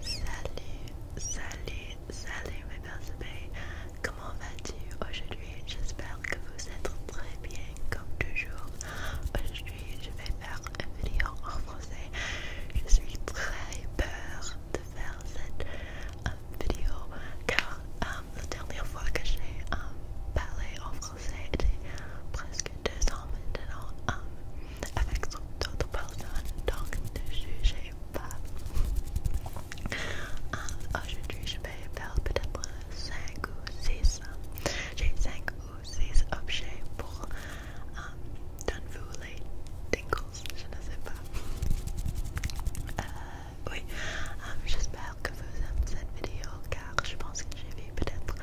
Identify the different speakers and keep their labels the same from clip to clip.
Speaker 1: Salut, salut, salut mes Comment vas-tu aujourd'hui? J'espère que vous êtes très bien comme toujours. Aujourd'hui, je vais faire une vidéo en français. Je suis très peur de faire cette euh, vidéo car euh, la dernière fois que j'ai euh, parlé en français, était presque deux ans maintenant avec d'autres personnes, donc ne jugez pas. Aujourd'hui, oh, je vais faire peut-être 5 ou 6. J'ai 5 ou 6 objets pour um, euh, donner vous les tingles, je ne sais pas. Euh, oui, euh, j'espère que vous aimez cette vidéo car je pense que j'ai vu peut-être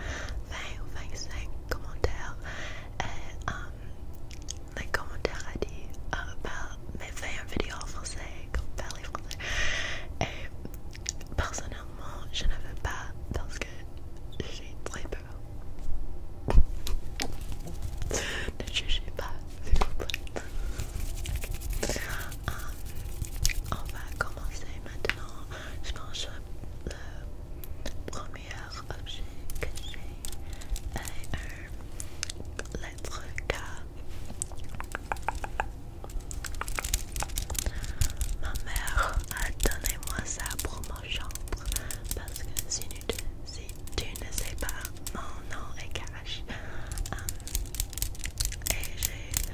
Speaker 1: 20 ou 25 commentaires et um, les commentaires a dit euh, mais fais une vidéo en français comme parler français et personnellement je ne veux pas parce que j'ai très peur ne jugez pas s'il vous plaît um, on va commencer maintenant je pense que le premier objet que j'ai est une lettre K. Ma mère a donné moi ça pour ma chambre parce que si tu, ne sais pas, mon nom est cash. Hum. et j'ai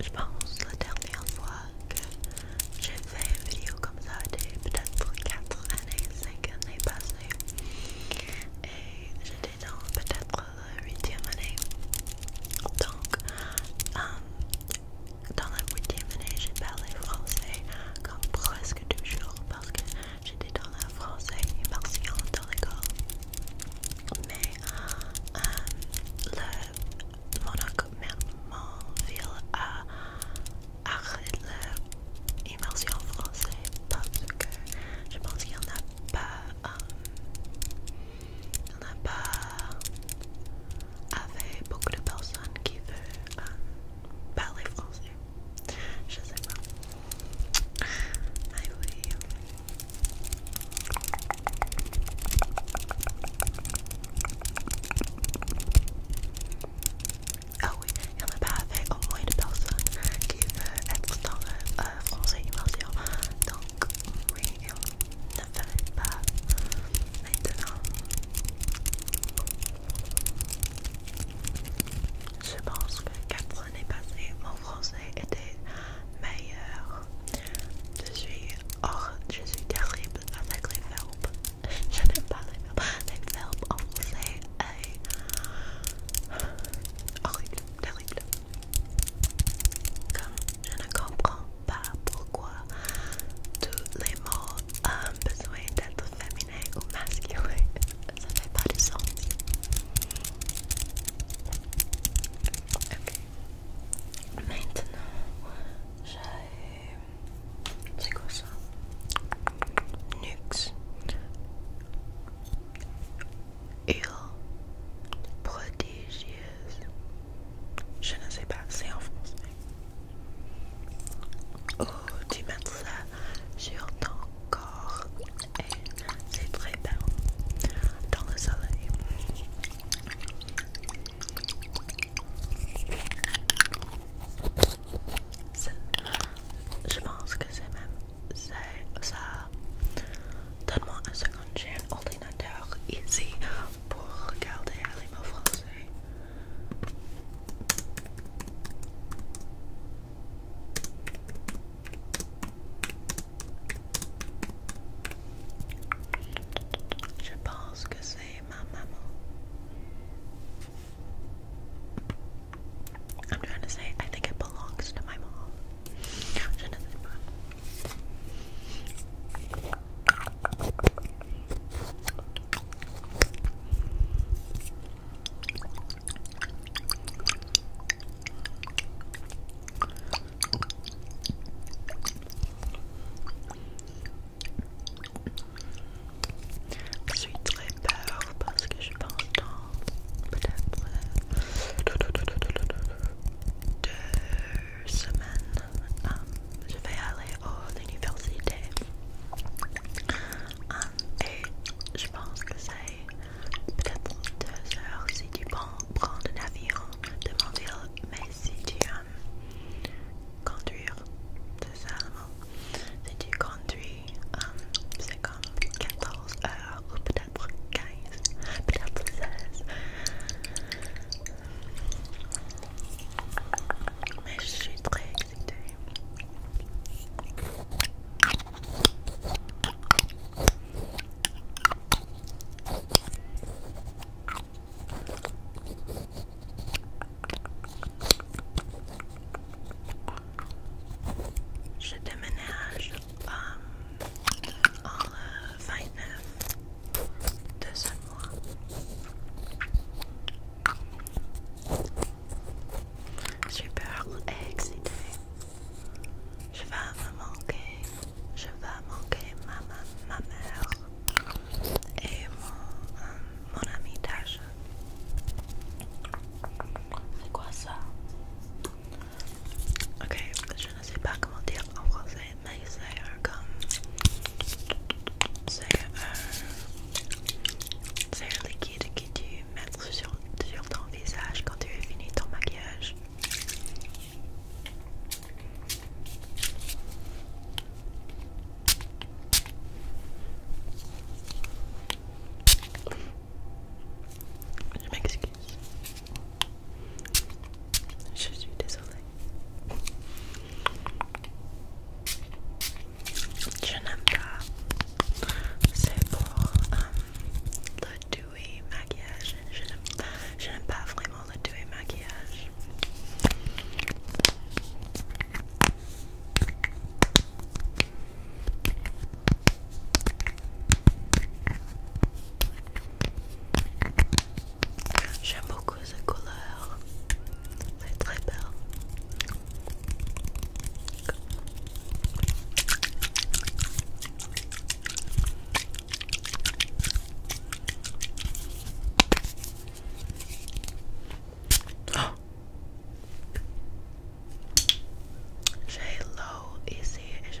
Speaker 1: Je pense la dernière fois que j'ai fait une vidéo comme ça, c'était peut-être 4 années, 5 années passées. Et j'étais dans peut-être la 8e année. Donc, euh, dans la 8e année, j'ai parlé français comme presque toujours parce que j'étais dans la français immersion dans l'école. Mais euh, euh le, mon ville a arrêté l'immersion français parce que je pense qu'il n'y en a pas. Euh, il n'y en a pas. Avec beaucoup de personnes qui veulent euh, parler français. Je sais pas. Ah oui. oui, il y en a pas avec au moins une personne qui veut être dans le euh, français immersion. Donc oui, il ne fallait pas maintenant. Je pense que quatre années passées, mon français était meilleur. Je suis or, je suis terrible avec les verbes. Je n'aime pas les verbes. Les verbes en français est horrible, terrible. Comme je ne comprends pas pourquoi tous les mots ont besoin d'être féminins. Mais ou masculin, ça fait pas de sens. Ok. Maintenant, j'ai... C'est quoi ça? Nux. Île prodigieuse. Je ne sais pas, c'est en français. Oh, tu mets ça sur ton corps et eh, c'est très bien dans le soleil. Je pense que c'est même ça. Donne-moi un second, j'ai un ordinateur ici pour regarder les mots français. I'm trying to say I think it belongs to my mom. Je suis très peur parce que je pense peut-être euh, semaine, um, je vais aller à l'université um, et je pense que c'est peut-être deux heures si tu prends un avion de mon ville, mais si tu um, conduire, conduis, c'est comme 14 heures ou peut-être 15, peut-être 16. Mais je suis très excitée. Je déménage euh, en 29 euh, deux seuls mois. Super excité. Je vais me manquer. Je vais manquer ma, mère et mon, euh, mon ami Tasha. C'est quoi ça? Ok, je je ne sais pas comment dire en français, mais c'est un comme. C'est un. un liquide que tu mets sur, sur ton visage quand tu as fini ton maquillage. Je m'excuse. Je suis désolée. Je n'aime pas. C'est pour euh, le doué maquillage. Je n'aime pas vraiment le doué maquillage. J'aime beaucoup cette couleur. C'est très belle. Oh. j ici et je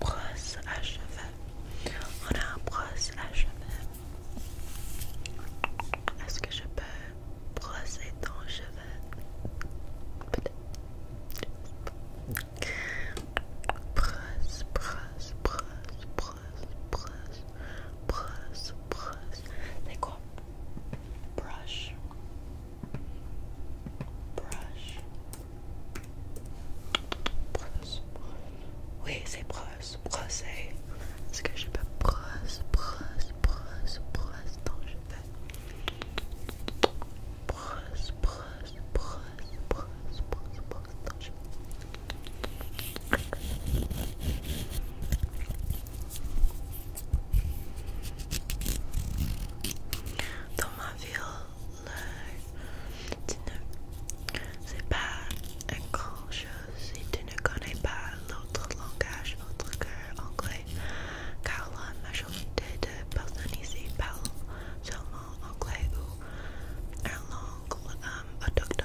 Speaker 1: Brosse à cheveux. On a un brosse à cheveux. Est-ce que je peux brosser ton cheveu? Brosse, brosse, brosse, brosse, brosse, brosse, brosse. C'est quoi? brush, brush, brush Oui, c'est brosse, eh. c'est ce que je peux brosse, brosse, brosse, brosse. brosse brosse, brosse, brosse, brosse, brosse, Thomas tu ne sais pas une grande chose si tu ne connais pas l'autre langage autre que anglais, car la majorité de personnes ici parlent seulement anglais ou un langue um, autochtone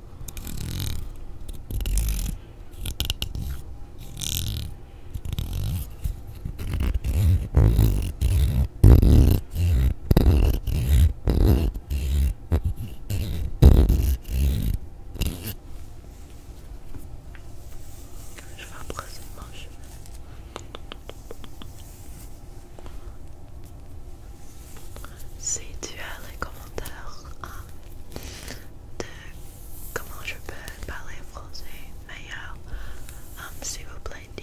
Speaker 1: Je vais embrasser si tu as les commentaires hein, de comment je peux parler français meilleur, hein, s'il vous plaît, dis.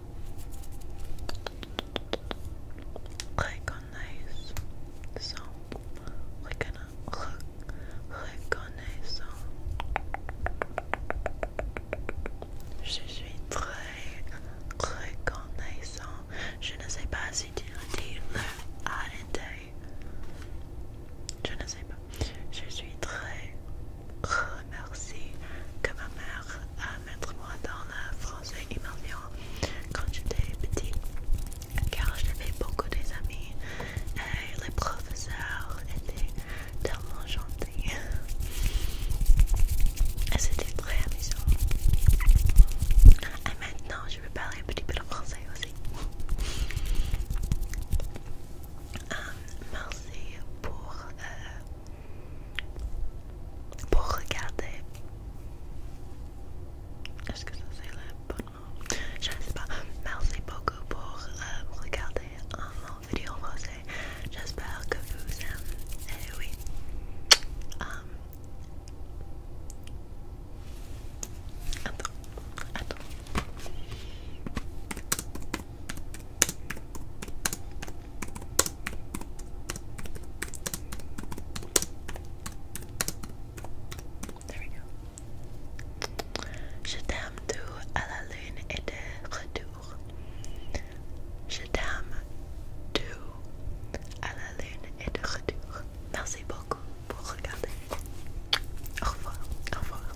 Speaker 1: reconnaissant je suis très reconnaissant je ne sais pas si tu dire le arrêter je ne sais pas je suis très remercie que ma mère a mettre moi dans le français immersion quand j'étais petite car j'avais beaucoup d'amis amis et les professeurs étaient tellement gentils et c'était très amusant et maintenant je vais parler un petit peu de français aussi euh, merci pour euh, pour regarder. Est-ce que ça c'est le bon Je ne sais pas. Merci beaucoup pour euh, regarder mon vidéo en français. J'espère que vous aimez. Et eh oui. Um, attends. Attends. There we go. Je t'aime d'où à la lune et de retour. Je t'aime d'où à la lune et de retour. Merci beaucoup pour regarder. Au revoir. Au revoir.